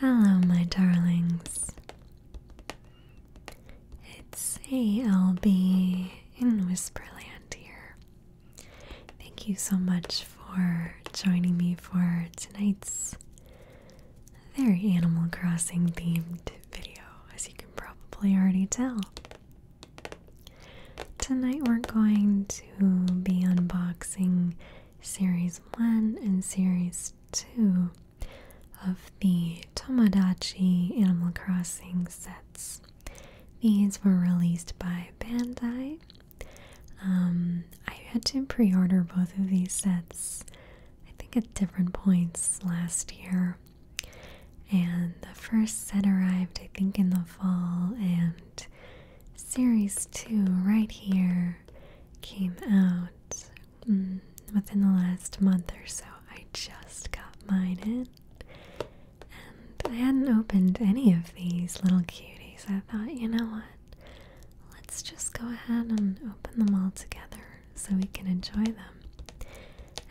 Hello, my darlings. It's ALB in Whisperland here. Thank you so much for joining me for tonight's very Animal Crossing themed video, as you can probably already tell. Tonight we're going to be unboxing Series 1 and Series two of the Tomodachi Animal Crossing sets. These were released by Bandai. Um, I had to pre order both of these sets, I think, at different points last year. And the first set arrived, I think, in the fall, and series two right here came out mm, within the last month or so. I just got mine in. And I hadn't opened any of these little cuties. I thought, you know what? Let's just go ahead and open them all together so we can enjoy them.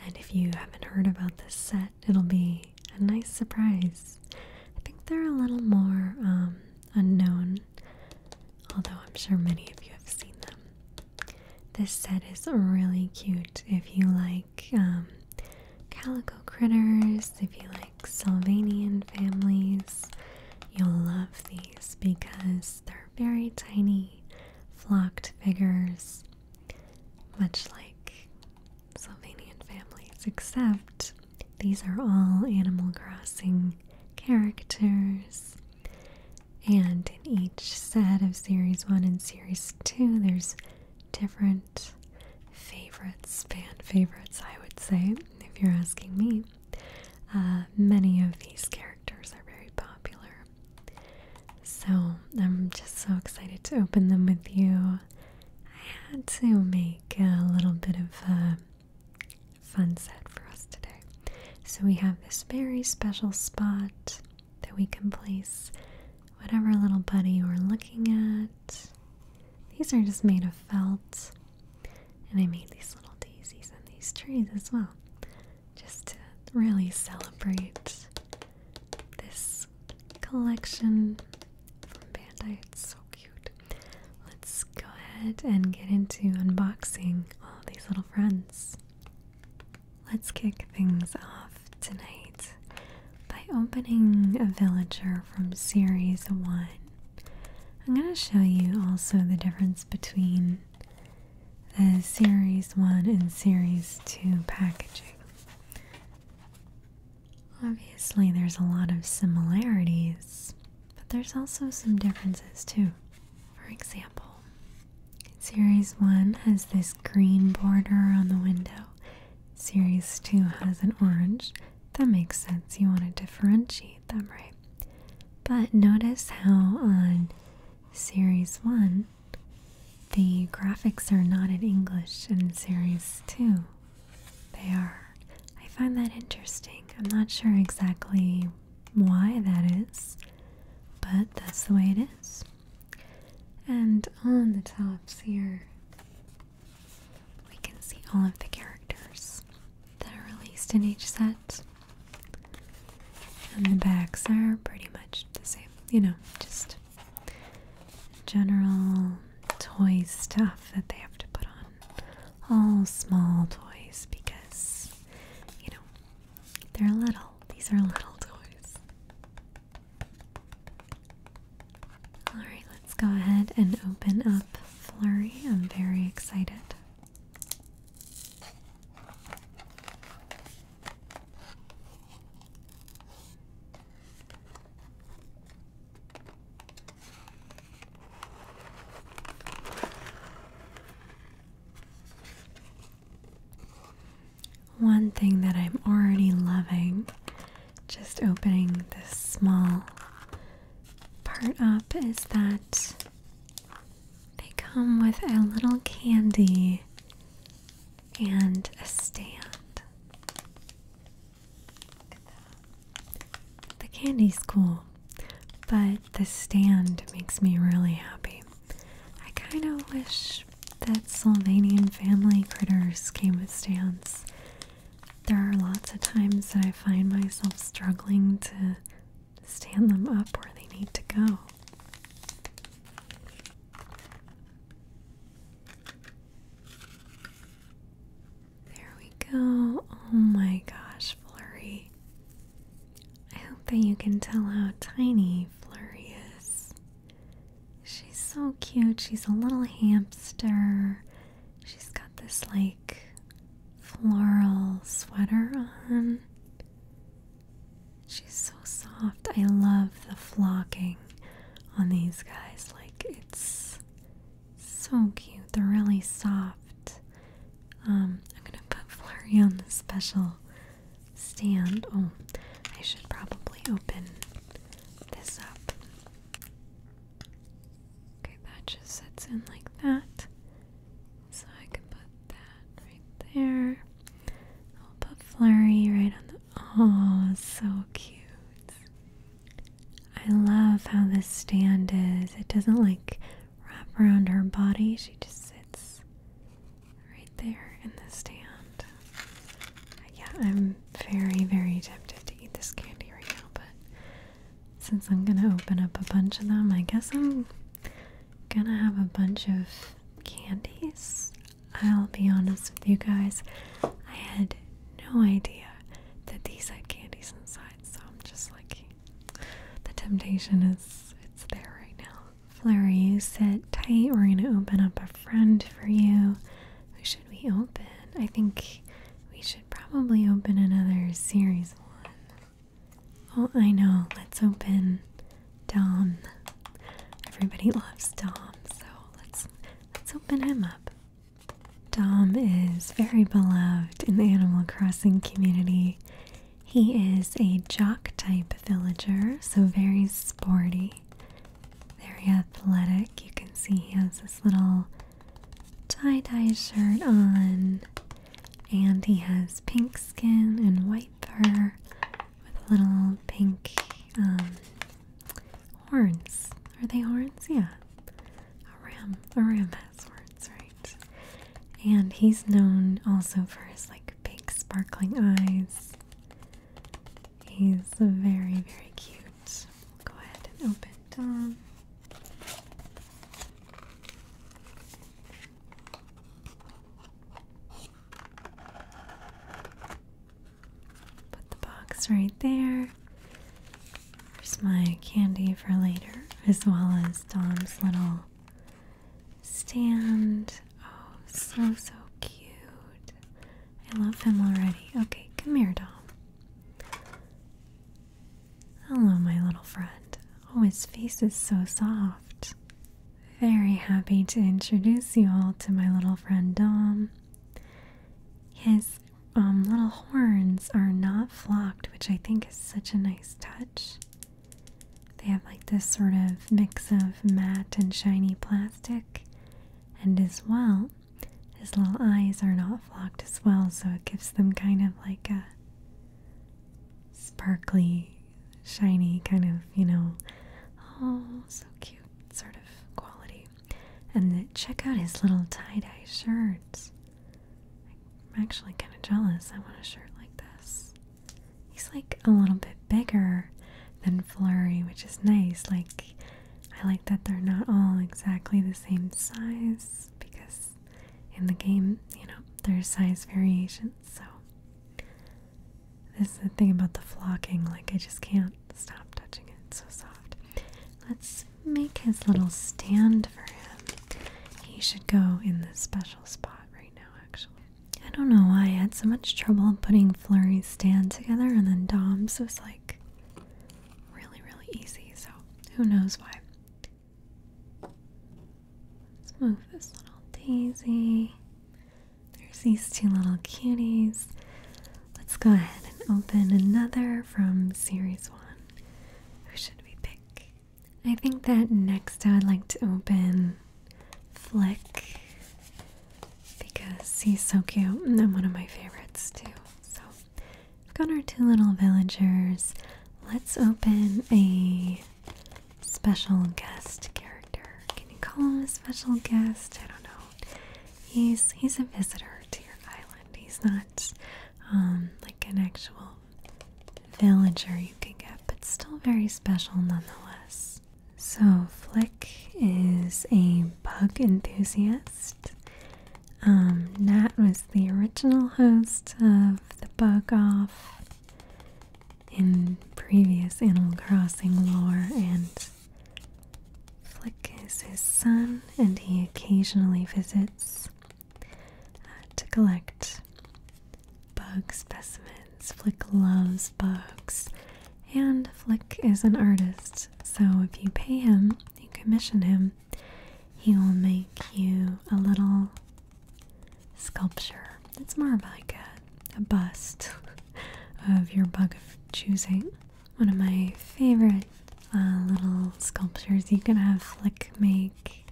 And if you haven't heard about this set, it'll be a nice surprise. I think they're a little more um, unknown although I'm sure many of you have seen them. This set is really cute if you like um, calico critters, if you like Sylvanian families. You'll love these because they're very tiny, flocked figures, much like Sylvanian families, except these are all Animal Crossing characters. And in each set of Series 1 and Series 2, there's different favorites, fan favorites, I would say, if you're asking me. Uh, many of these characters are very popular. So I'm just so excited to open them with you. I had to make a little bit of a uh, sunset for us today. So we have this very special spot that we can place whatever little buddy we're looking at. These are just made of felt. And I made these little daisies on these trees as well. Just to really celebrate this collection from Bandai. It's so cute. Let's go ahead and get into unboxing all these little friends. Let's kick things off tonight by opening a villager from series 1. I'm going to show you also the difference between the series 1 and series 2 packaging. Obviously, there's a lot of similarities, but there's also some differences too. For example, Series 1 has this green border on the window. Series 2 has an orange. That makes sense. You want to differentiate them, right? But notice how on Series 1, the graphics are not in English, and in Series 2, they are. I find that interesting. I'm not sure exactly why that is, but that's the way it is. And on the tops here, we can see all of the characters that are released in each set. And the backs are pretty much the same, you know, just general toy stuff that they have to put on all small toys because, you know, they're little. These are little toys. Alright, let's go ahead and open up Flurry. I'm very excited. One thing that I'm already loving, just opening this small part up, is that they come with a little candy and a stand. Look at that. The candy's cool, but the stand makes me really happy. I kind of wish that Sylvanian family critters came with stands. There are lots of times that I find myself struggling to stand them up where they need to go. There we go. Oh my gosh, Flurry. I hope that you can tell how tiny Flurry is. She's so cute. She's a little hamster. She's got this like floral sweater on. She's so soft. I love the flocking on these guys. Like it's so cute. They're really soft. Um, I'm gonna put Flurry on the special stand. Oh, I should probably open this up. Okay, that just sits in like that. So I can put that right there. I'll put Flurry right on the. Oh, so cute. I love how this stand is. It doesn't like wrap around her body, she just sits right there in the stand. Yeah, I'm very, very tempted to eat this candy right now, but since I'm gonna open up a bunch of them, I guess I'm gonna have a bunch of candies. I'll be honest with you guys, I had no idea that these had candies inside, so I'm just like the temptation is it's there right now. Flower, you sit tight. We're gonna open up a friend for you. Who should we open? I think we should probably open another series one. Oh, I know. Let's open Dom. Everybody loves Dom, so let's let's open him up. Dom is very beloved in the Animal Crossing community. He is a jock type villager, so very sporty, very athletic. You can see he has this little tie dye shirt on, and he has pink skin and white fur with little pink um, horns. Are they horns? Yeah. Aram, Aram has words, right? And he's known also for his like big sparkling eyes. He's very, very cute. go ahead and open Put the box right there. Here's my candy for later, as well as Dom's little stand. Oh, so, so cute. I love him already. Okay, come here, Dom. Hello, my little friend. Oh, his face is so soft. Very happy to introduce you all to my little friend Dom. His um, little horns are not flocked, which I think is such a nice touch. They have like this sort of mix of matte and shiny plastic, and as well, his little eyes are not flocked as well, so it gives them kind of like a sparkly, shiny kind of, you know, oh, so cute sort of quality. And check out his little tie dye shirts. I'm actually kind of jealous. I want a shirt like this. He's like a little bit bigger than Flurry, which is nice. Like, I like that they're not all exactly the same size because in the game, you know, there's size variations. So, this is the thing about the flocking. Like, I just can't stop touching it. so soft. Let's make his little stand for him. He should go in this special spot right now, actually. I don't know why I had so much trouble putting Flurry's stand together, and then Dom's was like really, really easy, so who knows why. Let's move this little daisy. There's these two little cuties. Let's go ahead and open another from series one. Who should we pick? I think that next I would like to open Flick because he's so cute and one of my favorites too. So we have got our two little villagers. Let's open a special guest character. Can you call him a special guest? I don't know. He's he's a visitor to your island. He's not like. Um, an actual villager you can get, but still very special nonetheless. So, Flick is a bug enthusiast. Um, Nat was the original host of the Bug Off in previous Animal Crossing lore, and Flick is his son, and he occasionally visits uh, to collect bug specimens. Flick loves bugs, and Flick is an artist, so if you pay him, you commission him, he will make you a little sculpture. It's more of like a bust of your bug of choosing. One of my favorite uh, little sculptures you can have Flick make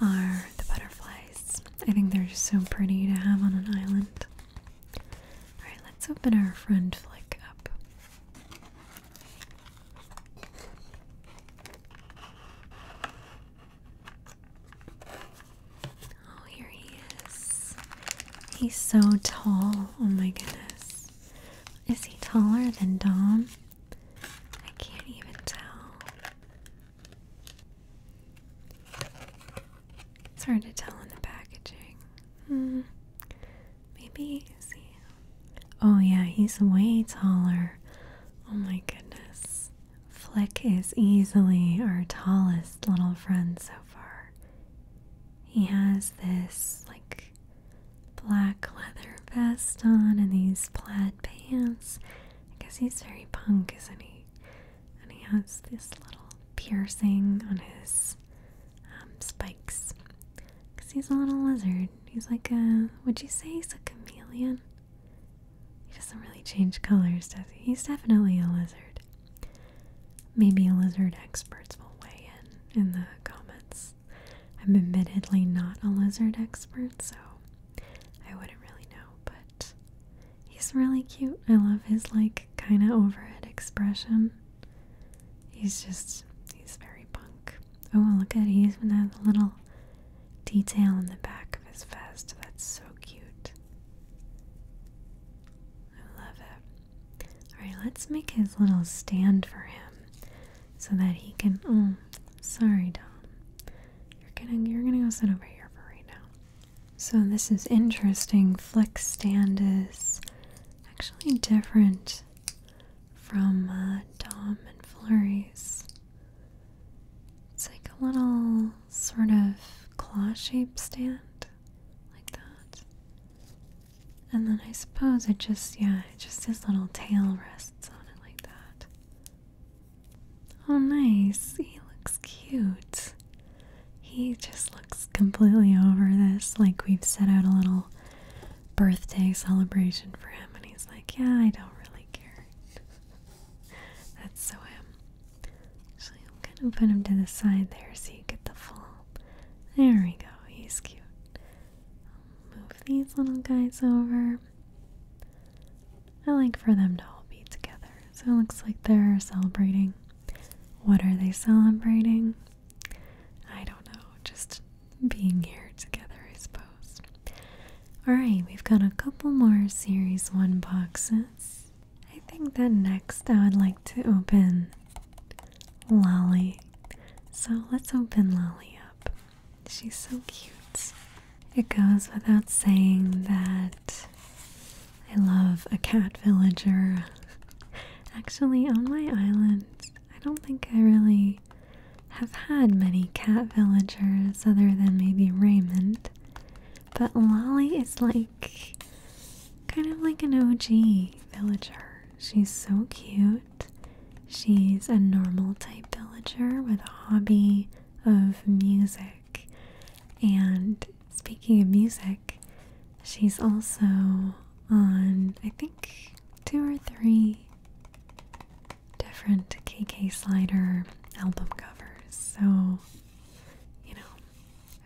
are the butterflies. I think they're just so pretty to have on an island. Alright, let's open our friend Flick up. Oh, here he is. He's so tall. Oh my goodness. Is he taller than Dom? I can't even tell. It's hard to tell in the packaging. Hmm. Maybe is Oh yeah, he's way taller. Oh my goodness. Flick is easily our tallest little friend so far. He has this like black leather vest on and these plaid pants. I guess he's very punk, isn't he? And he has this little piercing on his um, spikes. Because he's a little lizard. He's like a, would you say he's a chameleon? He doesn't really change colors, does he? He's definitely a lizard. Maybe lizard experts will weigh in in the comments. I'm admittedly not a lizard expert, so I wouldn't really know, but he's really cute. I love his, like, kind of overhead expression. He's just, he's very punk. Oh, look at, he even has a little detail in the back of his vest. That's so cute. I love it. Alright, let's make his little stand for him so that he can. Oh, sorry, Dom. You're gonna you're gonna go sit over here for right now. So this is interesting. Flick stand is actually different from uh, Dom and Flurry's. It's like a little sort of claw-shaped stand, like that. And then I suppose it just, yeah, it just his little tail rests on it like that. Oh, nice. He looks cute. He just looks completely over this. Like, we've set out a little birthday celebration for him, and he's like, yeah, I don't really care. That's so him. So I'm gonna put him to the side there so you get the full. There we go. He's cute move these little guys over. I like for them to all be together. So it looks like they're celebrating. What are they celebrating? I don't know, just being here together, I suppose. Alright, we've got a couple more Series 1 boxes. I think that next I would like to open Lolly. So let's open Lolly up. She's so cute. It goes without saying that I love a cat villager. Actually, on my island, I don't think I really have had many cat villagers other than maybe Raymond. But Lolly is like kind of like an OG villager. She's so cute. She's a normal type villager with a hobby of music. And speaking of music, she's also on, I think, two or three different KK Slider album covers. So, you know,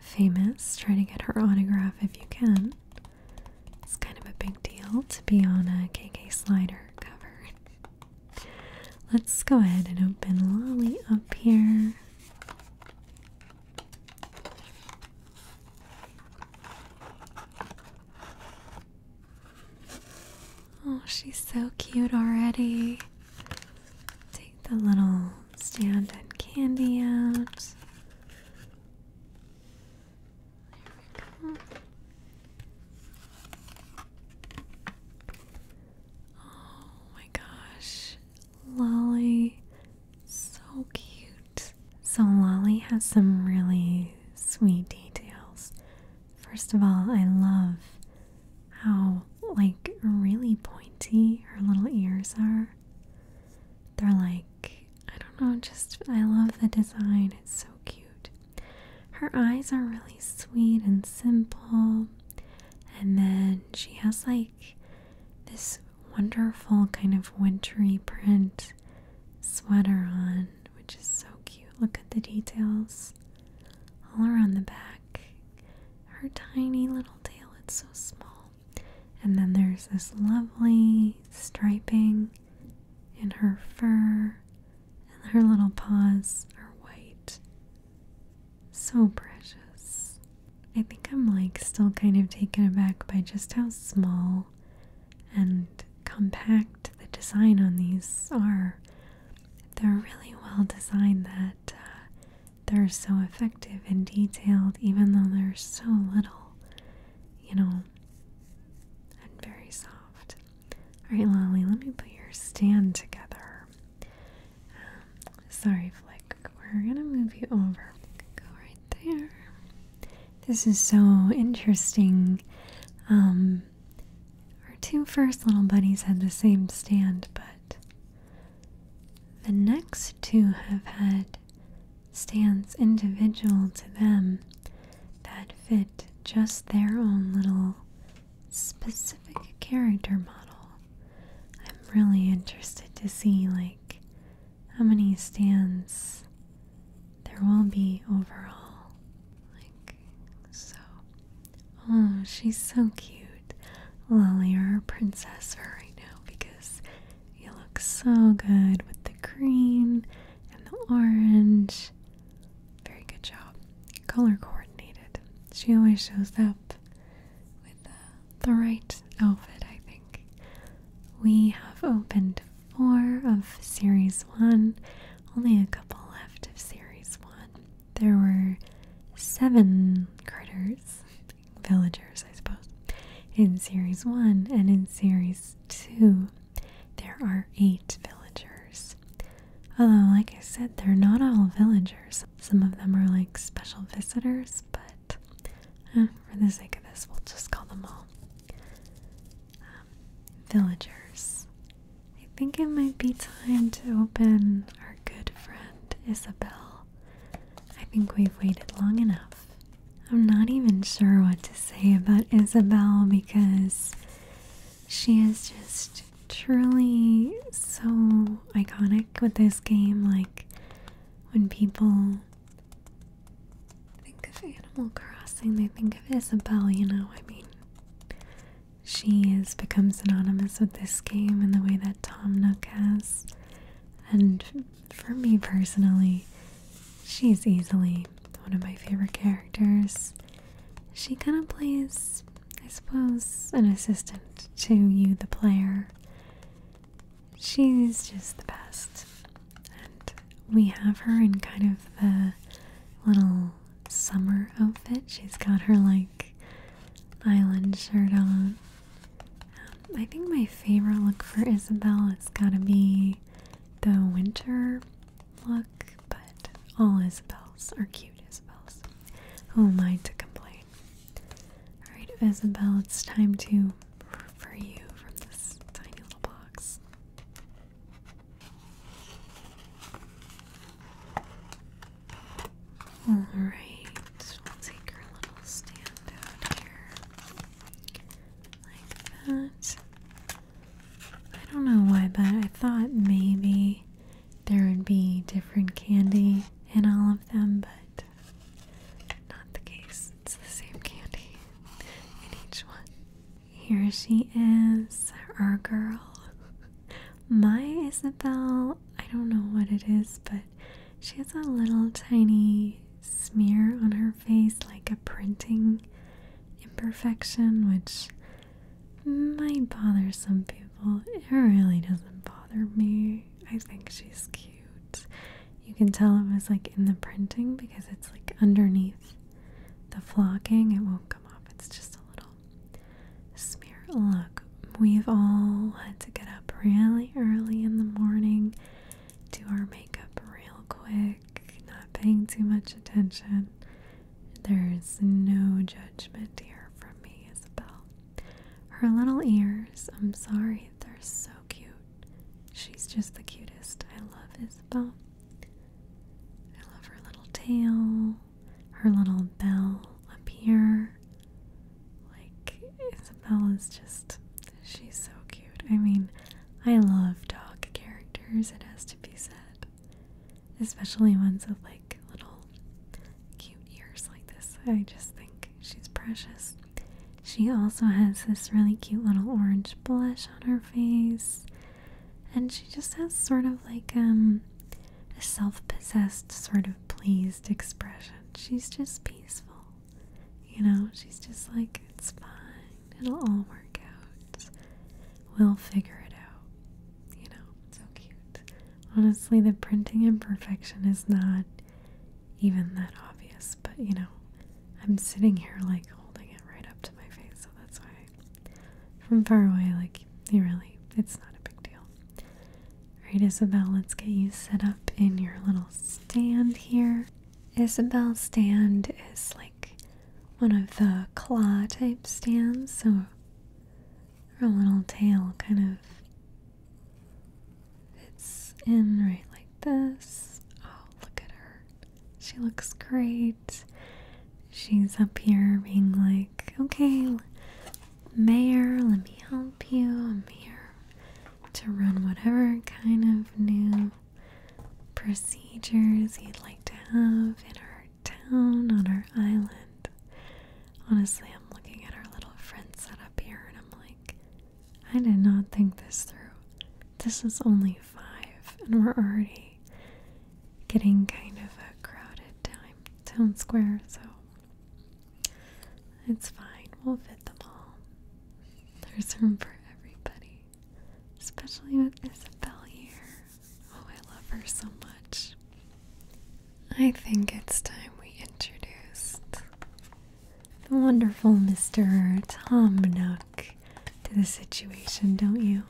famous. Try to get her autograph if you can. It's kind of a big deal to be on a KK Slider cover. Let's go ahead and open Lolly up here. Oh, she's so cute already. Take the little stand and candy out. There we go. Oh my gosh. Lolly. So cute. So Lolly has some really sweet details. First of all, I love how like really pointy her little ears are. They're like, I don't know, just I love the design. It's so cute. Her eyes are really sweet and simple. And then she has like this wonderful kind of wintry print sweater on, which is so cute. Look at the details all around the back. Her tiny little tail, it's so small. And then there's this lovely striping and her fur and her little paws are white. So precious. I think I'm like still kind of taken aback by just how small and compact the design on these are. They're really well designed that uh, they're so effective and detailed, even though they're so little you know, and very soft. All right, Lolly, let me put your stand together. sorry, Flick, we're gonna move you over. Go right there. This is so interesting. Um, our two first little buddies had the same stand, but the next two have had Stands individual to them that fit just their own little specific character model. I'm really interested to see like how many stands there will be overall. Like so. Oh, she's so cute. Lily or princess her right now because you look so good with the green and the orange. Very good job. Color coordinated. She always shows up with uh, the right outfit, I think. We have opened four of series one, only a couple left of series one. There were seven critters, villagers, I suppose, in series one, and in series two, there are eight villagers. Although, like I said, they're not all villagers. Some of them are like special visitors, but eh, for the sake of this, we'll just call them all um, villagers. I think it might be time to open our good friend Isabel. I think we've waited long enough. I'm not even sure what to say about Isabel because she is just truly so iconic with this game. Like when people think of Animal Crossing, they think of Isabel, you know? I mean, she has become synonymous with this game and the way that Tom Nook has. And for me personally, she's easily one of my favorite characters. She kind of plays, I suppose, an assistant to you, the player. She's just the best. And we have her in kind of the little summer outfit. She's got her like island shirt on. Um, I think my favorite look for Isabel has got to be the winter look, but all Isabels are cute Isabels. Who am I to complain? Alright, Isabelle, it's time to for you from this tiny little box. Alright, take our little stand out here like that. I don't know why, but I thought maybe there would be different candy in all of them, but not the case. It's the same candy in each one. Here she is, our girl. My Isabel, I don't know what it is, but she has a little tiny smear on her face like a printing imperfection, which might bother some people. It really doesn't bother me. I think she's cute. You can tell it was like in the printing because it's like underneath the flocking. It won't come off. It's just a little smear. Look, we've all had to get up really early in the morning, do our makeup real quick not paying too much attention. There's no judgment here from me, Isabel. Her little ears, I'm sorry, they're so cute. She's just the cutest. I love Isabel. I love her little tail, her little bell up here. Like, Isabel is just She's so cute. I mean, I love dog characters, it has to be said. Especially ones with like little cute ears like this. I just think she's precious. She also has this really cute little orange blush on her face. And she just has sort of like um a self-possessed sort of pleased expression. She's just peaceful. You know, she's just like it's fine. It'll all work out. We'll figure it out. You know, so cute. Honestly, the printing imperfection is not even that obvious, but you know, I'm sitting here like holding it right up to my face, so that's why from far away, like, you really, it's not a big deal. All right, Isabel, let's get you set up in your little stand here. Isabel stand is like one of the claw type stands, so her little tail kind of fits in right like this. Oh, look at her. She looks great. She's up here being like, okay, Mayor, let me help you. I'm here to run whatever kind of new procedures you'd like to have in our town, on our island. Honestly, I'm looking at our little friend up here and I'm like, I did not think this through. This is only five, and we're already getting kind of a crowded town square, so it's fine. We'll fit them all. There's room for everybody especially with Isabel here. Oh, I love her so much. I think it's time we introduced the wonderful Mr. Tom Nook to the situation, don't you?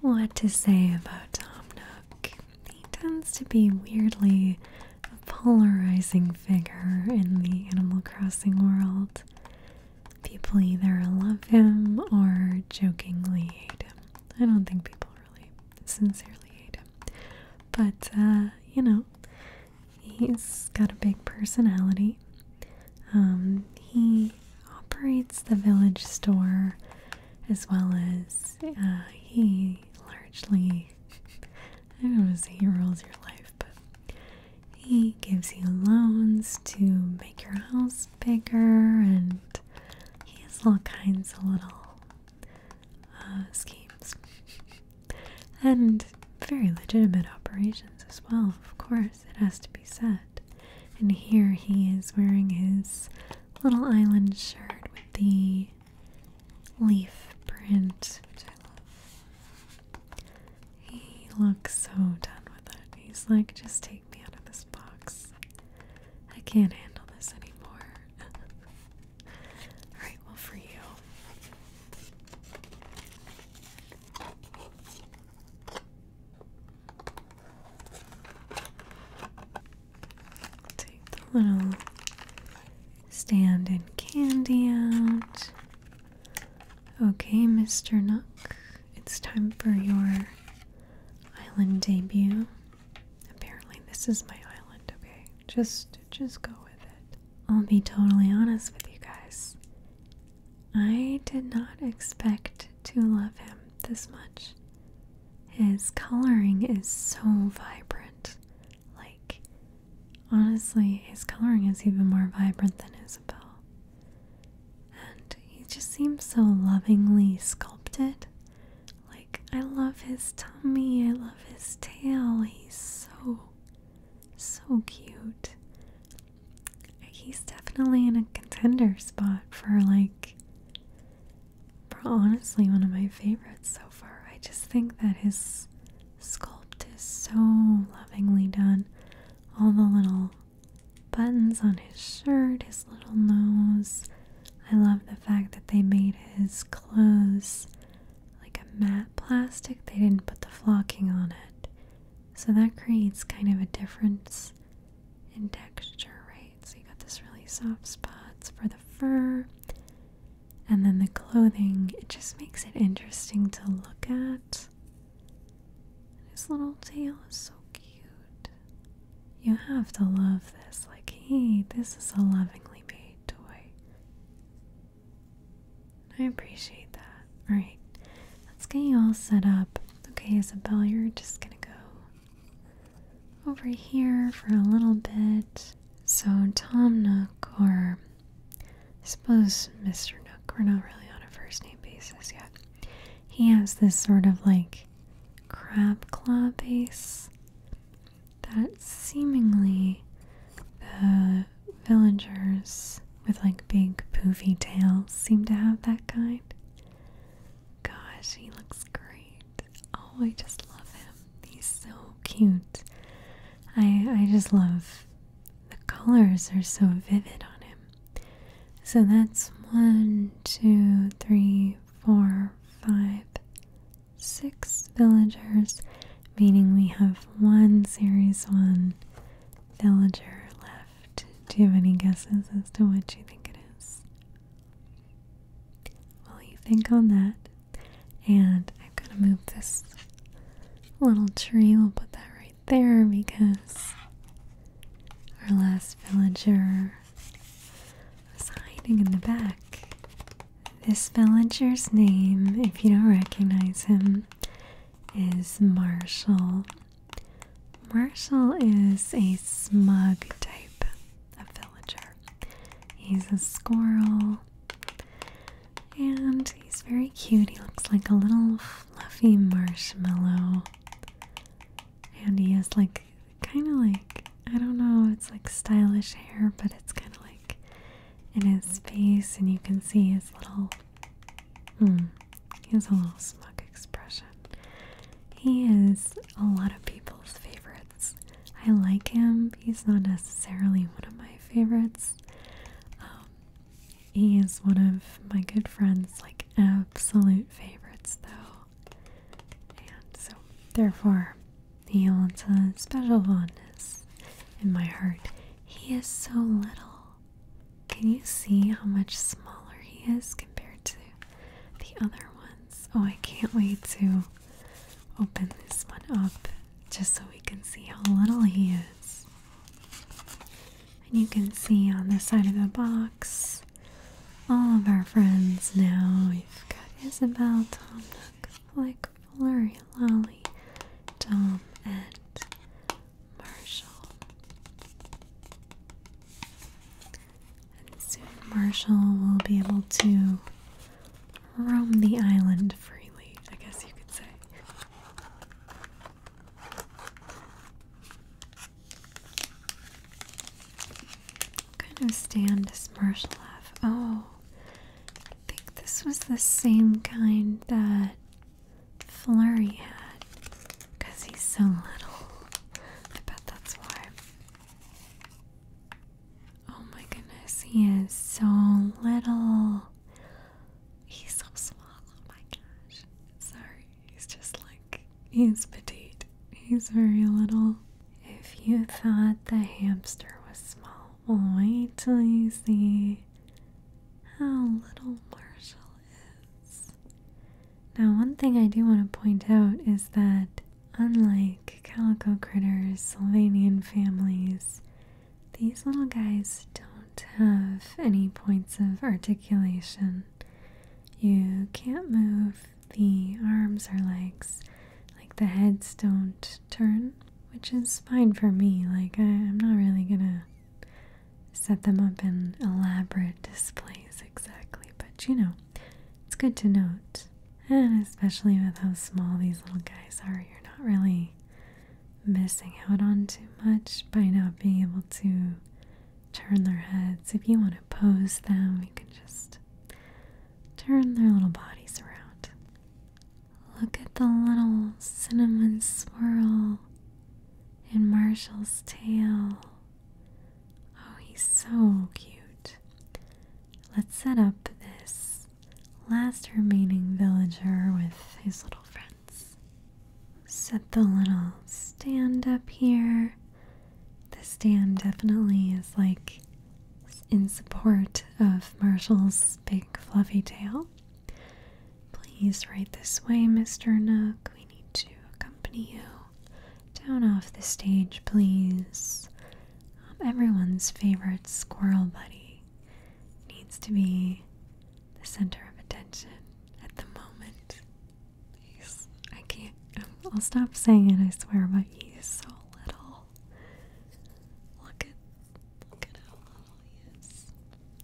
What to say about Tom Nook? He tends to be weirdly polarizing figure in the Animal Crossing world people either love him or jokingly hate him. I don't think people really sincerely hate him. But, uh, you know, he's got a big personality. Um, he operates the village store as well as uh, he largely, I don't want to say he rules your life, he gives you loans to make your house bigger, and he has all kinds of little uh, schemes and very legitimate operations as well. Of course, it has to be said. And here he is wearing his little island shirt with the leaf print, he looks so done with it. He's like, just take me out of this box. I can't handle this anymore. Alright, well, for you. Take the little stand and candy out. Okay, Mr. Nook, it's time for your island debut. Apparently this is my island, okay? Just just go with it. I'll be totally honest with you guys. I did not expect to love him this much. His coloring is so vibrant. Like honestly, his coloring is even more vibrant than Isabel. And he just seems so lovingly sculpted. Like, I love his tummy, I love his tail. He's so, so cute. He's definitely in a contender spot for, like, for honestly, one of my favorites so far. I just think that his sculpt is so lovingly done. All the little buttons on his shirt, his little nose. I love the fact that they made his clothes like a matte plastic. They didn't put the flocking on it. So that creates kind of a difference in texture, right? So you got this really soft spots for the fur. And then the clothing, it just makes it interesting to look at his little tail is so cute. You have to love this. Like, hey, this is a lovingly made toy. I appreciate that. Alright, let's get you all set up. Okay, Isabel, you're just gonna go over here for a little bit. So, Tom Nook, or I suppose Mr. Nook, we're not really on a first name basis yet. He has this sort of like crab claw base that seemingly the villagers with like big poofy tails seem to have that kind. Gosh, he looks great. Oh, I just love him. He's so cute. I I just love the colors are so vivid on him. So that's one, two, three, four, five, six villagers, meaning we have one series one villager left. Do you have any guesses as to what you think it is? Well, you think on that, and i am going to move this little tree. We'll put that right there because our last villager was hiding in the back. This villager's name, if you don't recognize him, is Marshall. Marshall is a smug type of villager. He's a squirrel. And he's very cute. He looks like a little fluffy marshmallow. And he has like kind of like, I don't know, it's like stylish hair, but it's kind of like in his face, and you can see his little, he hmm, has a little smug expression. He is a lot of people's favorites. I like him. He's not necessarily one of my favorites. Um, he is one of my good friends, like absolute favorites, though. And so, therefore, he holds a special fondness in my heart. He is so little. Can you see how much smaller he is compared to the other ones? Oh, I can't wait to open this one up just so we can see how little he is. And you can see on the side of the box all of our friends now. We've got Isabel, Tom Nook, Flurry, Lolly, Tom, and Marshall. And soon Marshall will be able to roam the island freely, I guess you could say. What kind of stand does Marshall Oh, I think this was the same kind that Flurry had because he's so little. I bet that's why. Oh my goodness, he is so little. He's so small. Oh my gosh. Sorry. He's just like. He's petite. He's very little. If you thought the hamster was small, well, wait till you see how little Marshall is. Now, one thing I do want to point out is that, unlike calico critters, Sylvanian families these little guys don't have any points of articulation. You can't move the arms or legs, like the heads don't turn, which is fine for me. Like, I, am not really gonna set them up in elaborate displays exactly, but you know, it's good to note. And especially with how small these little guys are, you're not really missing out on too much by not being able to turn their heads. If you want to pose them, you can just turn their little bodies around. Look at the little cinnamon swirl in Marshall's tail. Oh, he's so cute. Let's set up this last remaining villager with his little friend set the little stand up here. The stand definitely is like in support of Marshall's big fluffy tail. Please, right this way, Mr. Nook. We need to accompany you. Down off the stage, please. Um, everyone's favorite squirrel buddy needs to be the center of attention at the moment. He's, I can't, um, I'll stop saying it, I swear, but he's so little. Look at, look at how little he is.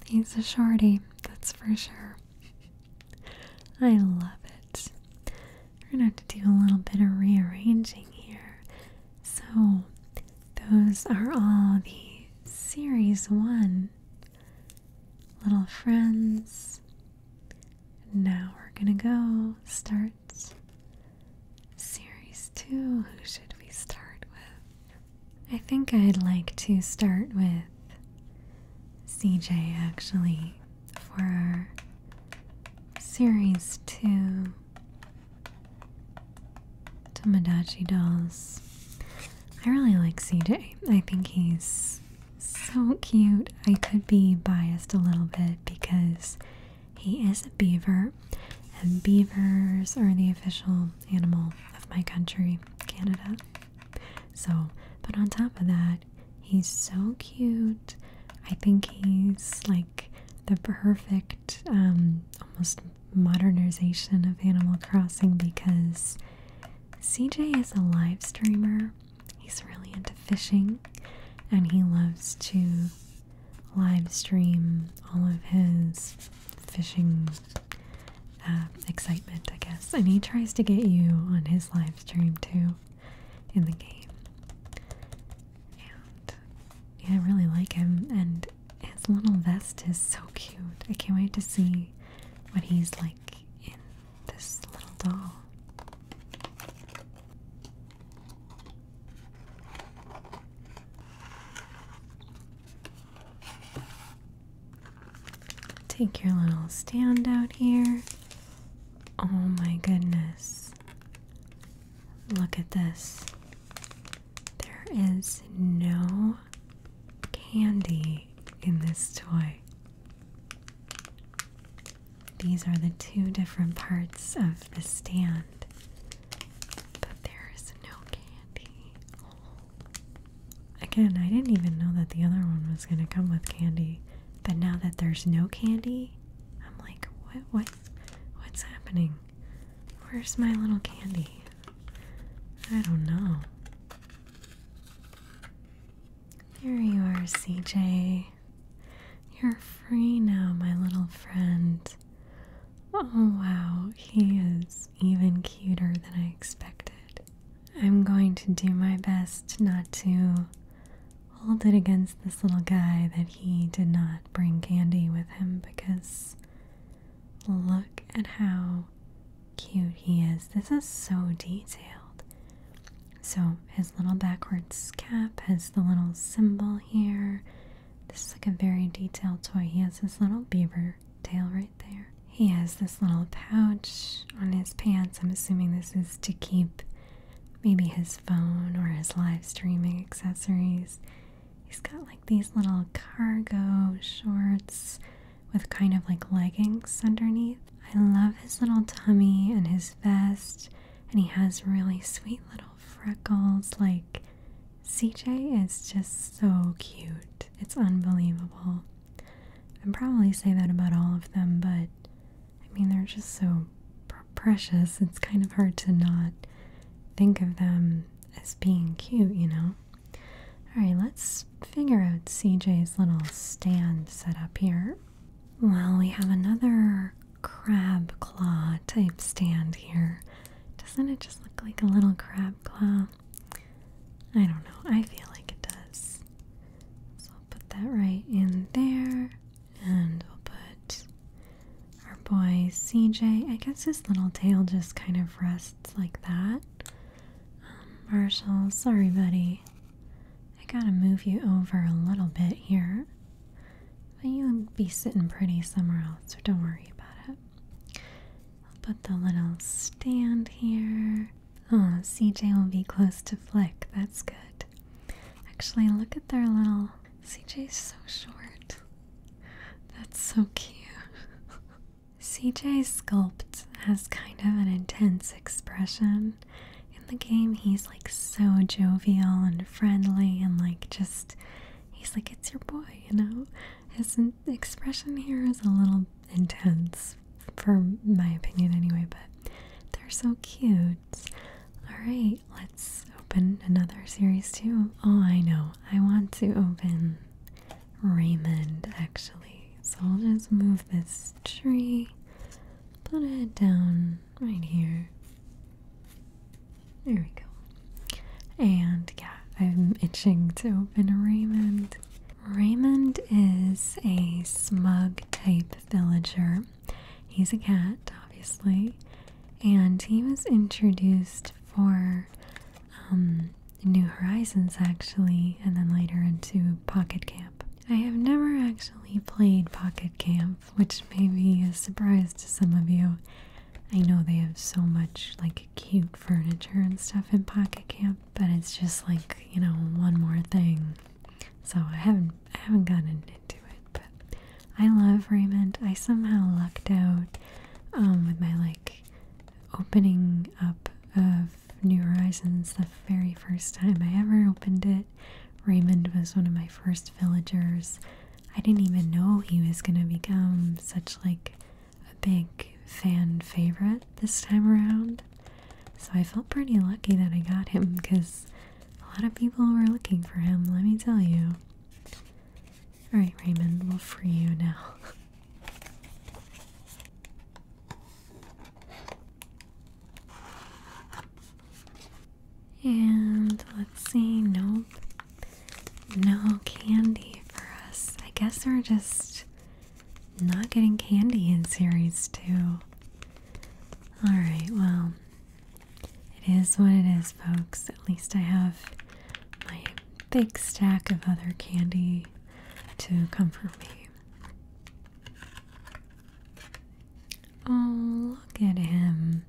He's a shorty, that's for sure. I love it. We're gonna have to do a little bit of rearranging here. So, those are all the Series 1 Little Friends. Now we're gonna go start Series 2. Who should we start with? I think I'd like to start with CJ actually for Series 2. Tomodachi dolls. I really like CJ. I think he's so cute. I could be biased a little bit because he is a beaver, and beavers are the official animal of my country, Canada. So, but on top of that, he's so cute. I think he's like the perfect, um, almost modernization of Animal Crossing because CJ is a live streamer. He's really into fishing and he loves to live stream all of his fishing uh, excitement, I guess. And he tries to get you on his live stream too in the game. And I really like him. And his little vest is so cute. I can't wait to see what he's like in this little doll. Take your little stand out here. Oh my goodness. Look at this. There is no candy in this toy. These are the two different parts of the stand, but there is no candy. Again, I didn't even know that the other one was going to come with candy, but now that there's no candy, I'm like, what, what, what's happening? Where's my little candy? I don't know. There you are, CJ. You're free now, my little friend. Oh, wow, he is even cuter than I expected. I'm going to do my best not to hold it against this little guy that he did not bring candy with him because Look at how cute he is. This is so detailed. So, his little backwards cap has the little symbol here. This is like a very detailed toy. He has his little beaver tail right there. He has this little pouch on his pants. I'm assuming this is to keep maybe his phone or his live streaming accessories. He's got like these little cargo shorts with kind of like leggings underneath. I love his little tummy and his vest, and he has really sweet little freckles. Like, CJ is just so cute. It's unbelievable. i am probably say that about all of them, but I mean, they're just so precious. It's kind of hard to not think of them as being cute, you know? Alright, let's figure out CJ's little stand setup here. Well, we have another crab claw type stand here. Doesn't it just look like a little crab claw? I don't know. I feel like it does. So I'll put that right in there. And we'll put our boy CJ. I guess his little tail just kind of rests it's like that. Um, Marshall, sorry, buddy. I gotta move you over a little bit here. But you'll be sitting pretty somewhere else, so don't worry about it. I'll put the little stand here. Oh, CJ will be close to Flick. That's good. Actually, look at their little. CJ's so short. That's so cute. CJ Sculpt has kind of an intense expression. In the game, he's like so jovial and friendly, and like just, he's like, it's your boy, you know? His expression here is a little intense, for my opinion anyway, but they're so cute. Alright, let's open another series too. Oh, I know. I want to open Raymond, actually. So I'll just move this tree, put it down right here. There we go. And yeah, I'm itching to open Raymond. Raymond is a smug type villager. He's a cat, obviously, and he was introduced for um, New Horizons actually, and then later into Pocket Camp. I have never actually played Pocket Camp, which may be a surprise to some of you. I know they have so much like cute furniture and stuff in Pocket Camp, but it's just like, you know, one more thing. So I haven't I haven't gotten into it, but I love Raymond. I somehow lucked out um, with my like opening up of New Horizons the very first time I ever opened it. Raymond was one of my first villagers. I didn't even know he was going to become such like a big fan favorite this time around. So I felt pretty lucky that I got him because a lot of people were looking for him, let me tell you. Alright, Raymond, we'll free you now. And let's see, nope. No candy for us. I guess we're just not getting candy in series two. Alright, well, it is what it is, folks. At least I have my big stack of other candy to comfort me. Oh, look at him.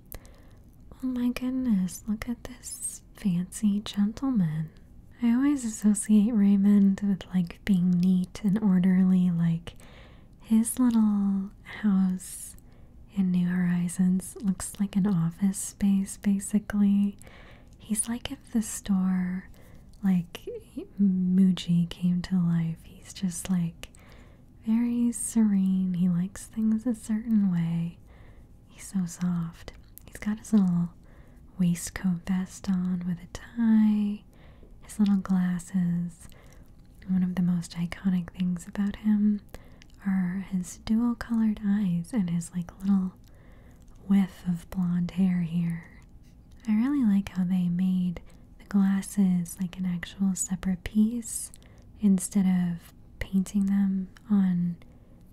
Oh my goodness, look at this fancy gentleman. I always associate Raymond with like being neat and orderly, like his little house in New Horizons looks like an office space basically. He's like if the store, like Muji, came to life. He's just like very serene. He likes things a certain way. He's so soft. He's got his little waistcoat vest on with a tie, his little glasses. One of the most iconic things about him are his dual colored eyes and his like little whiff of blonde hair here. I really like how they made the glasses like an actual separate piece instead of painting them on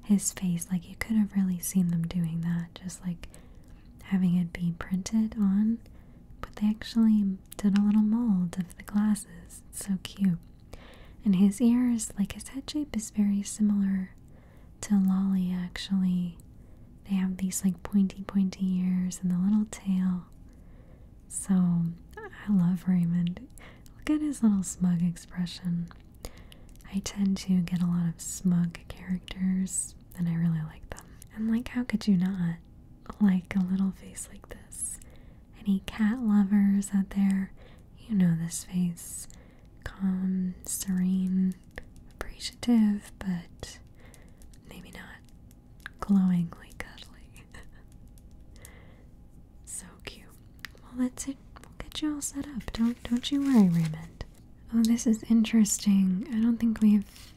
his face. Like, you could have really seen them doing that, just like having it be printed on. But they actually did a little mold of the glasses. It's so cute. And his ears, like his head shape, is very similar to Lolly actually. They have these like pointy, pointy ears and a little tail. So I love Raymond. Look at his little smug expression. I tend to get a lot of smug characters and I really like them. And like, how could you not like a little face like this? Any cat lovers out there, you know this face calm, serene, appreciative, but maybe not glowingly cuddly. so cute. Well, that's it. We'll get you all set up. Don't don't you worry, Raymond. Oh, this is interesting. I don't think we've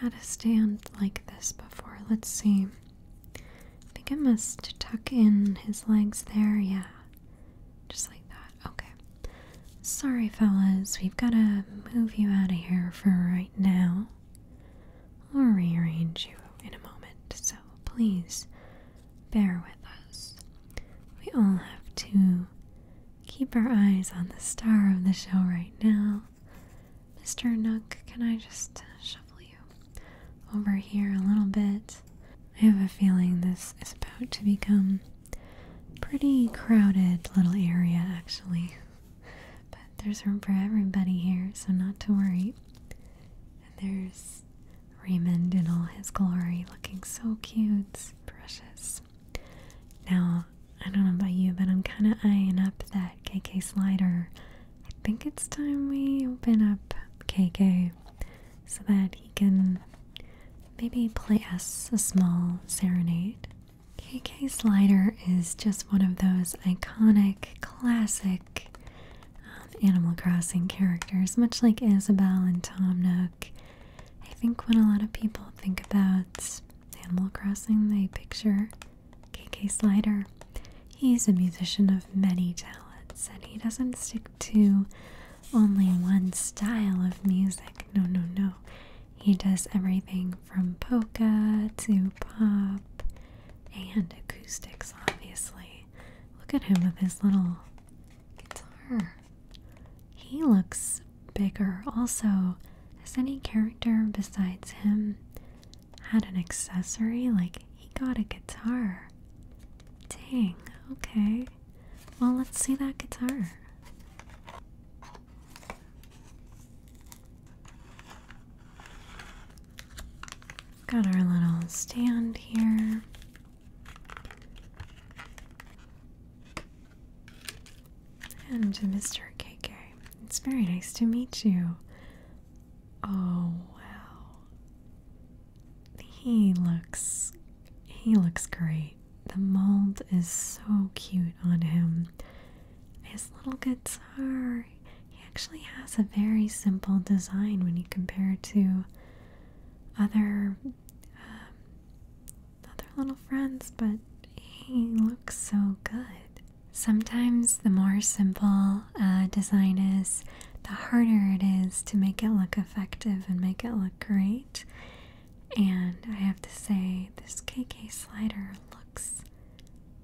had a stand like this before. Let's see. I think I must tuck in his legs there. Yeah. Just like that. Okay. Sorry, fellas. We've got to move you out of here for right now. we will rearrange you in a moment, so please bear with us. We all have to keep our eyes on the star of the show right now. Mr. Nook, can I just shuffle you over here a little bit. I have a feeling this is about to become pretty crowded little area actually. But there's room for everybody here, so not to worry. there's Raymond in all his glory, looking so cute, precious. Now, I don't know about you, but I'm kind of eyeing up that KK slider. I think it's time we open up KK so that he can maybe play us a small serenade. KK Slider is just one of those iconic, classic um, Animal Crossing characters, much like Isabelle and Tom Nook. I think when a lot of people think about Animal Crossing, they picture KK Slider. He's a musician of many talents and he doesn't stick to only one style of music. No, no, no. He does everything from polka to pop and acoustics, obviously. Look at him with his little guitar. He looks bigger. Also, has any character besides him had an accessory? Like, he got a guitar. Dang, okay. Well, let's see that guitar. Got our little stand here. And Mr. KK, it's very nice to meet you. Oh, wow. He looks he looks great. The mold is so cute on him. His little guitar, he actually has a very simple design when you compare it to other um, other little friends, but he looks so good. Sometimes the more simple uh, design is, the harder it is to make it look effective and make it look great. And I have to say, this KK slider looks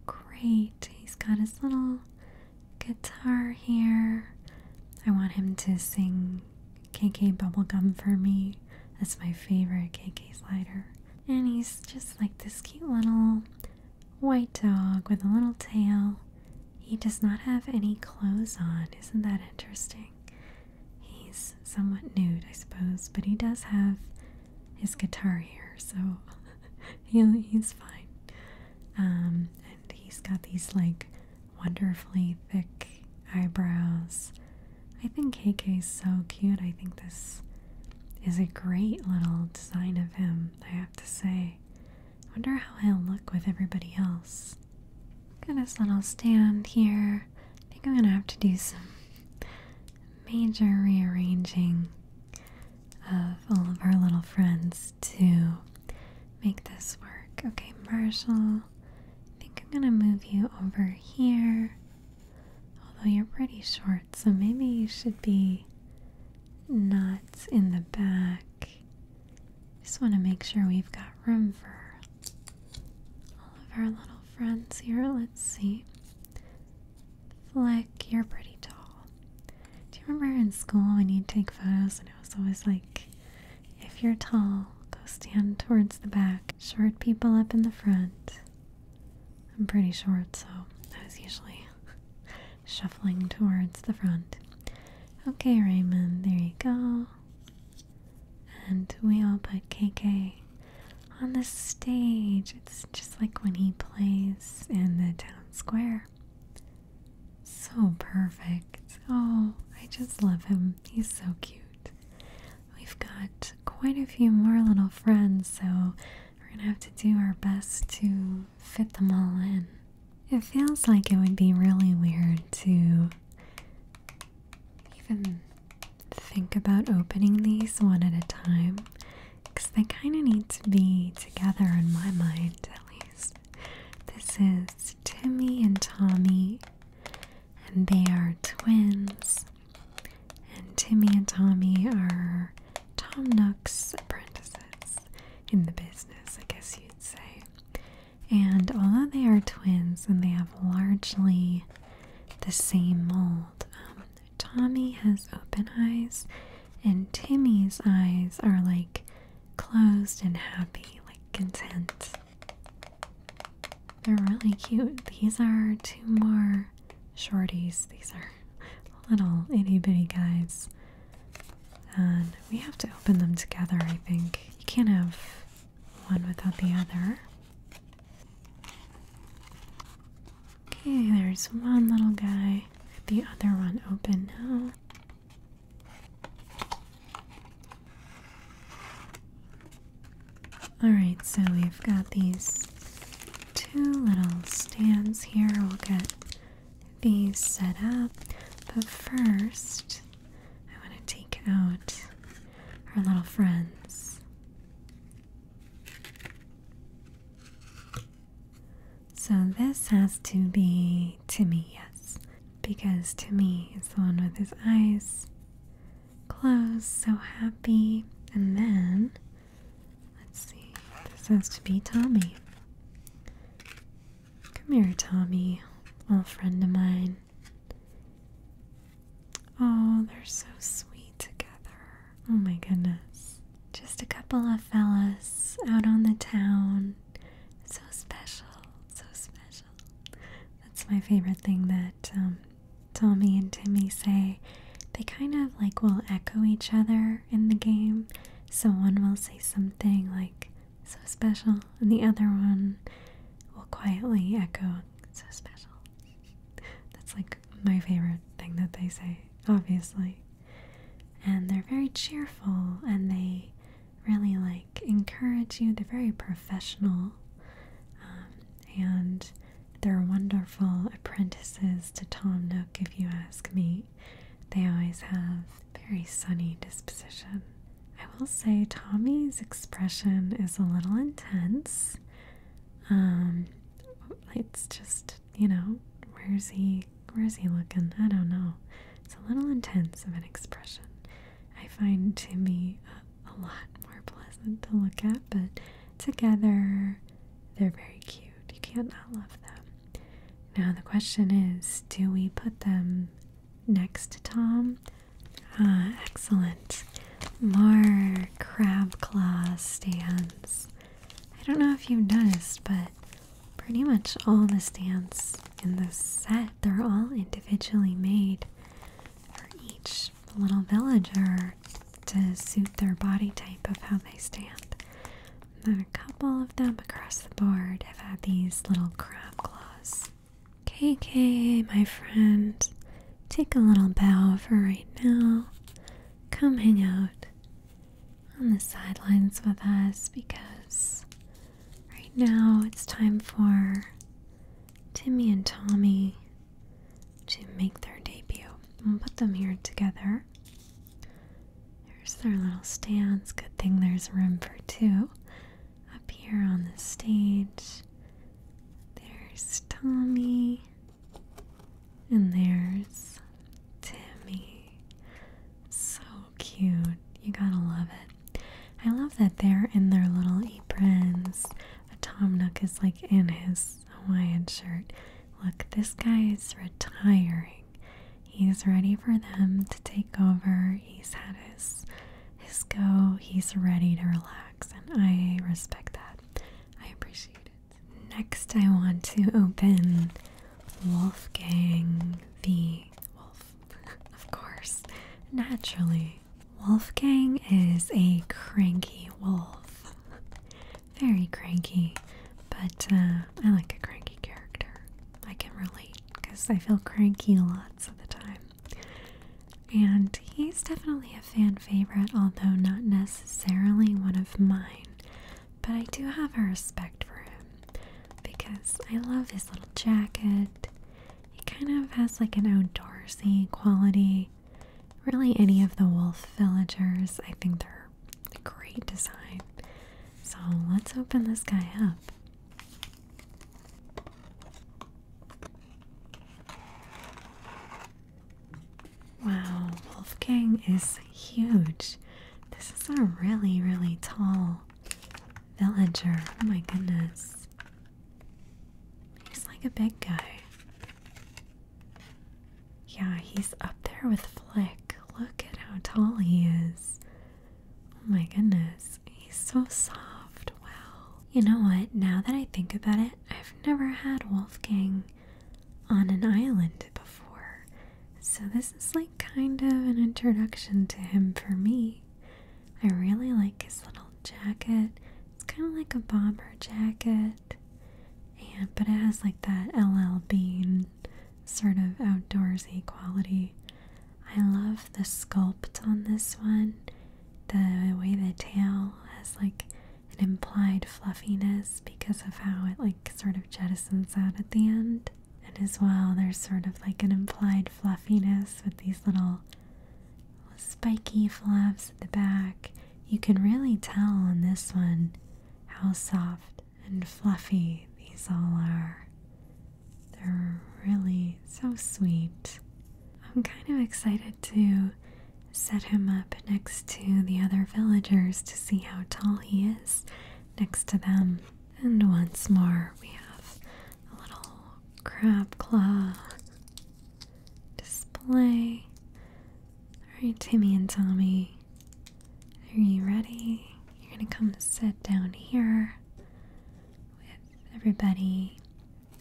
great. He's got his little guitar here. I want him to sing KK Bubblegum for me. That's my favorite KK slider. And he's just like this cute little white dog with a little tail. He does not have any clothes on. Isn't that interesting? He's somewhat nude, I suppose, but he does have his guitar here, so he, he's fine. Um, and he's got these like wonderfully thick eyebrows. I think KK's so cute. I think this is a great little design of him, I have to say. I wonder how I'll look with everybody else. Got this little stand here. I think I'm gonna have to do some major rearranging of all of our little friends to make this work. Okay, Marshall, I think I'm gonna move you over here. Although you're pretty short, so maybe you should be not in the back. Just want to make sure we've got room for all of our little friends here. Let's see. Flick, you're pretty tall. Do you remember in school when you'd take photos and it was always like, if you're tall, go stand towards the back, short people up in the front. I'm pretty short, so that was usually shuffling towards the front. Okay, Raymond, there you go. And we all put KK on the stage. It's just like when he plays in the town square. So perfect. Oh, I just love him. He's so cute. We've got quite a few more little friends, so we're gonna have to do our best to fit them all in. It feels like it would be really weird to even think about opening these one at a time because they kind of need to be together in my mind, at least. This is Timmy and Tommy, and they are twins. And Timmy and Tommy are Tom Nook's apprentices in the business, I guess you'd say. And although they are twins and they have largely the same mold, um, Tommy has open eyes and Timmy's eyes are like closed and happy, like content. They're really cute. These are two more shorties. These are little itty bitty guys. And we have to open them together, I think. You can't have one without the other. Okay, there's one little guy. The other one open now. Alright, so we've got these two little stands here. We'll get these set up, but first I want to take out our little friends. So this has to be Timmy, yes, because Timmy is the one with his eyes closed, so happy. And then, let's see, this has to be Tommy. Come here, Tommy, old friend of mine. Oh, they're so sweet together. Oh my goodness. Just a couple of fellas out on the town. So special, so special. That's my favorite thing that um, Tommy and Timmy say. They kind of like will echo each other in the game. So one will say something like, so special, and the other one will quietly echo, so special. That's like my favorite thing that they say, obviously. And they're very cheerful and they really like encourage you. They're very professional um, and they're wonderful apprentices to Tom Nook, if you ask me. They always have very sunny disposition. I will say Tommy's expression is a little intense. Um, it's just, you know, where's he where's he looking? I don't know. It's a little intense of an expression. I find Timmy a, a lot more pleasant to look at, but together they're very cute. You can't not love them. Now, the question is do we put them next to Tom? Ah, excellent. More crab claw stands. I don't know if you've noticed, but pretty much all the stands in the set, they're all individually made for each little villager to suit their body type of how they stand then a couple of them across the board have had these little crab claws. KK, my friend, take a little bow for right now. Come hang out on the sidelines with us because right now it's time for Timmy and Tommy to make their debut. We'll put them here together. There's their little stands. Good thing there's room for two. Up here on the stage, there's Tommy. And there's Timmy. So cute. You gotta love it. I love that they're in their little aprons. Tom Nook is like in his Hawaiian shirt. Look, this guy is retiring. He's ready for them to take over. He's had his his go. He's ready to relax, and I respect that. I appreciate it. Next, I want to open Wolfgang the Wolf. of course, naturally. Wolfgang is a cranky wolf. Very cranky, but uh, I like a cranky character. I can relate because I feel cranky lots of the time. And he's definitely a fan favorite, although not necessarily one of mine. But I do have a respect for him because I love his little jacket. He kind of has like an outdoorsy quality. Really, any of the wolf villagers, I think they're Great design. So let's open this guy up. Wow, Wolfgang is huge. This is a really, really tall villager. Oh my goodness. He's like a big guy. Yeah, he's up there with Flick. Look at how tall he is. Oh my goodness, he's so soft. Wow. You know what? Now that I think about it, I've never had Wolfgang on an island before. So this is like kind of an introduction to him for me. I really like his little jacket. It's kind of like a bomber jacket. And but it has like that LL Bean sort of outdoorsy quality. I love the sculpt on this one. The way the tail has like an implied fluffiness because of how it like sort of jettisons out at the end. And as well, there's sort of like an implied fluffiness with these little spiky flaps at the back. You can really tell on this one how soft and fluffy these all are. They're really so sweet. I'm kind of excited to set him up next to the other villagers to see how tall he is next to them. And once more, we have a little crab claw display. Alright, Timmy and Tommy are you ready? You're gonna come sit down here with everybody.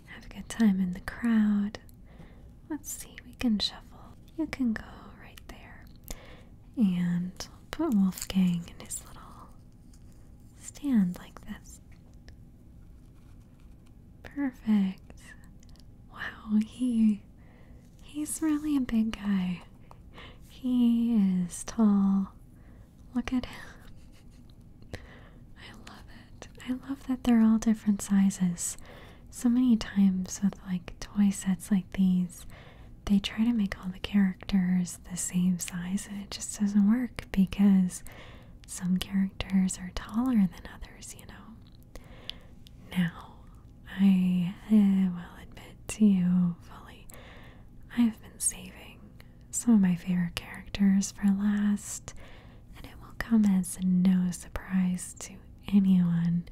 Have a good time in the crowd. Let's see, we can shuffle. You can go right there. And put Wolfgang in his little stand like this. Perfect. Wow, he he's really a big guy. He is tall. Look at him. I love it. I love that they're all different sizes. So many times with like toy sets like these, they try to make all the characters the same size and it just doesn't work because some characters are taller than others, you know. Now, I eh, will admit to you fully, I have been saving some of my favorite characters for last, and it will come as no surprise to anyone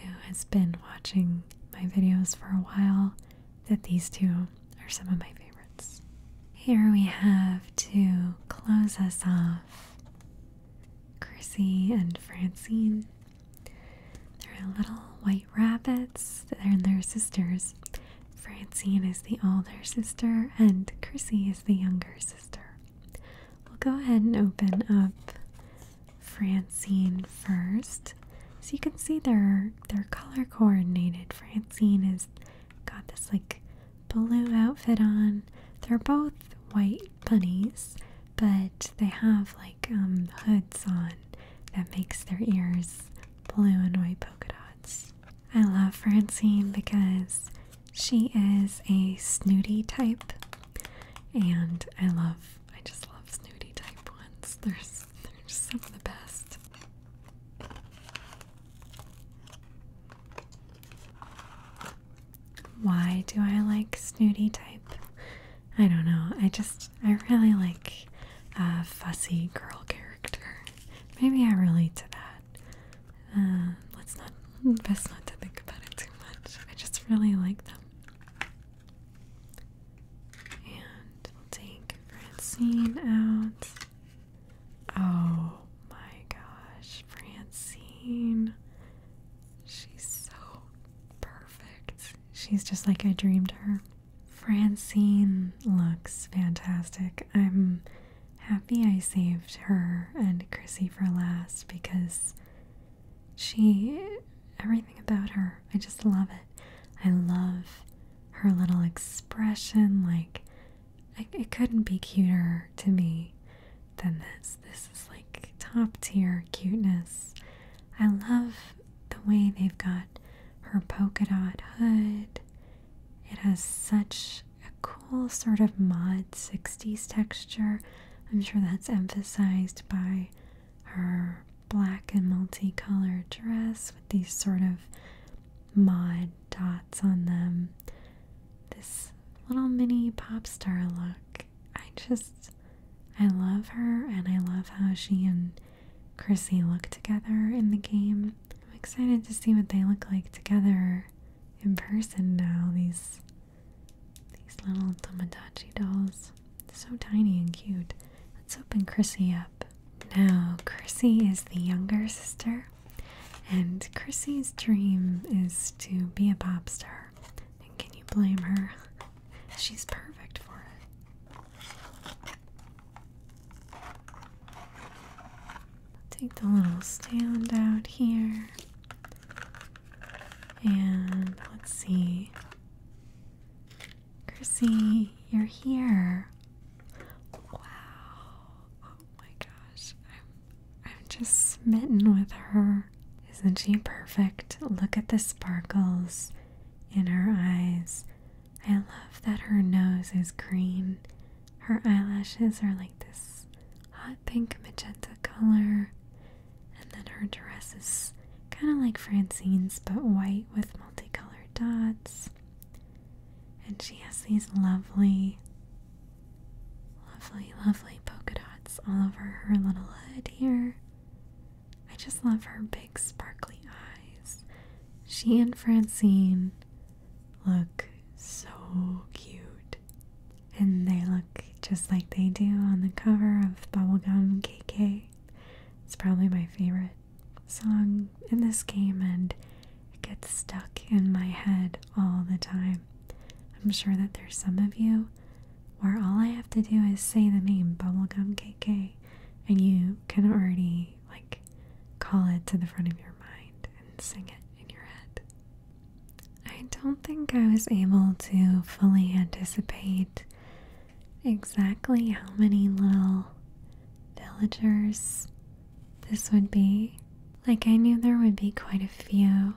who has been watching my videos for a while that these two are some of my favorites. Here we have to close us off Chrissy and Francine. There are little white rabbits, they're and their sisters. Francine is the older sister, and Chrissy is the younger sister. We'll go ahead and open up Francine first. So you can see they're they're color coordinated. Francine has got this like blue outfit on. They're both white bunnies, but they have like. Um, hoods on that makes their ears blue and white polka dots. I love Francine because she is a snooty type, and I love, I just love snooty type ones. There's, they're just some of the best. Why do I like snooty type? I don't know. I just I really like a fussy girl character. Maybe I relate to that. Uh, let's not best not to think about it too much. I just really like them. And take Francine out. Oh my gosh, Francine. She's so perfect. She's just like I dreamed her. Francine looks fantastic. I'm happy I saved her and Chrissy for last because she, everything about her, I just love it. I love her little expression. Like, it couldn't be cuter to me than this. This is like top tier cuteness. I love the way they've got her polka dot hood. It has such a cool sort of mod 60s texture. I'm sure that's emphasized by her black and multicolored dress with these sort of mod dots on them. This little mini pop star look. I just, I love her and I love how she and Chrissy look together in the game. I'm excited to see what they look like together in person now. These these little Tomodachi dolls. So tiny and cute. Let's open Chrissy up. Now, Chrissy is the younger sister, and Chrissy's dream is to be a pop star. And can you blame her? She's perfect for it. Take the little stand out here. And let's see. Chrissy, you're here. Wow. Oh my gosh. I'm I'm just smitten with her. Isn't she perfect? Look at the sparkles in her eyes. I love that her nose is green. Her eyelashes are like this hot pink magenta color. And then her dress is kind of like Francine's, but white with multicolored dots. And she has these lovely, lovely, lovely polka dots all over her little head here. I just love her big, sparkly eyes. She and Francine look so cute. And they look just like they do on the cover of Bubblegum KK. It's probably my favorite song in this game, and it gets stuck in my head all the time. I'm sure that there's some of you where all I have to do is say the name Bubblegum KK and you can already like call it to the front of your mind and sing it in your head. I don't think I was able to fully anticipate exactly how many little villagers this would be. Like, I knew there would be quite a few,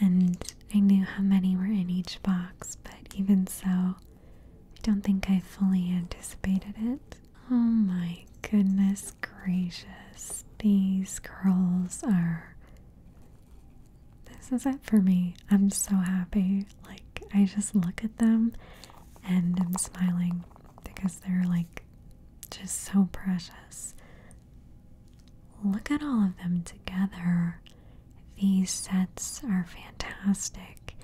and I knew how many were in each box, but even so, I don't think I fully anticipated it. Oh my goodness gracious. These girls are. This is it for me. I'm so happy. Like, I just look at them and I'm smiling because they're like just so precious. Look at all of them together. These sets are fantastic.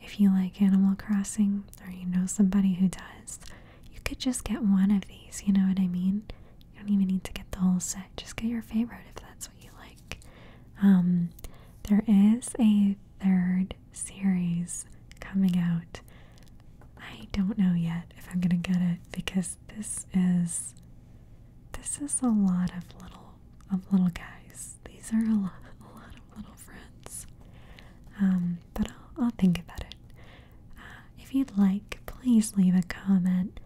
If you like Animal Crossing or you know somebody who does, you could just get one of these, you know what I mean? You don't even need to get the whole set, just get your favorite if that's what you like. Um, there is a third series coming out. I don't know yet if I'm gonna get it because this is this is a lot of little of little guys. These are a lot, a lot of little friends. Um, but I'll, I'll think about it. Uh, if you'd like, please leave a comment.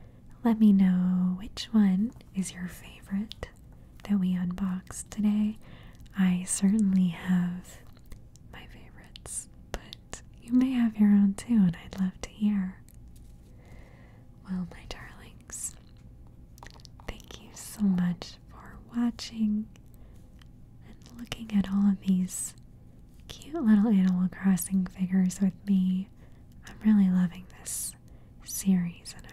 Let me know which one is your favorite that we unboxed today. I certainly have my favorites, but you may have your own too, and I'd love to hear. Well, my darling, things. Thank you so much for watching and looking at all of these cute little Animal Crossing figures with me. I'm really loving this series and i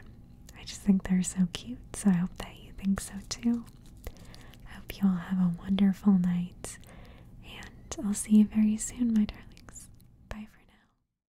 I just think they're so cute, so I hope that you think so too. I hope you all have a wonderful night, and I'll see you very soon, my darlings. Bye for now.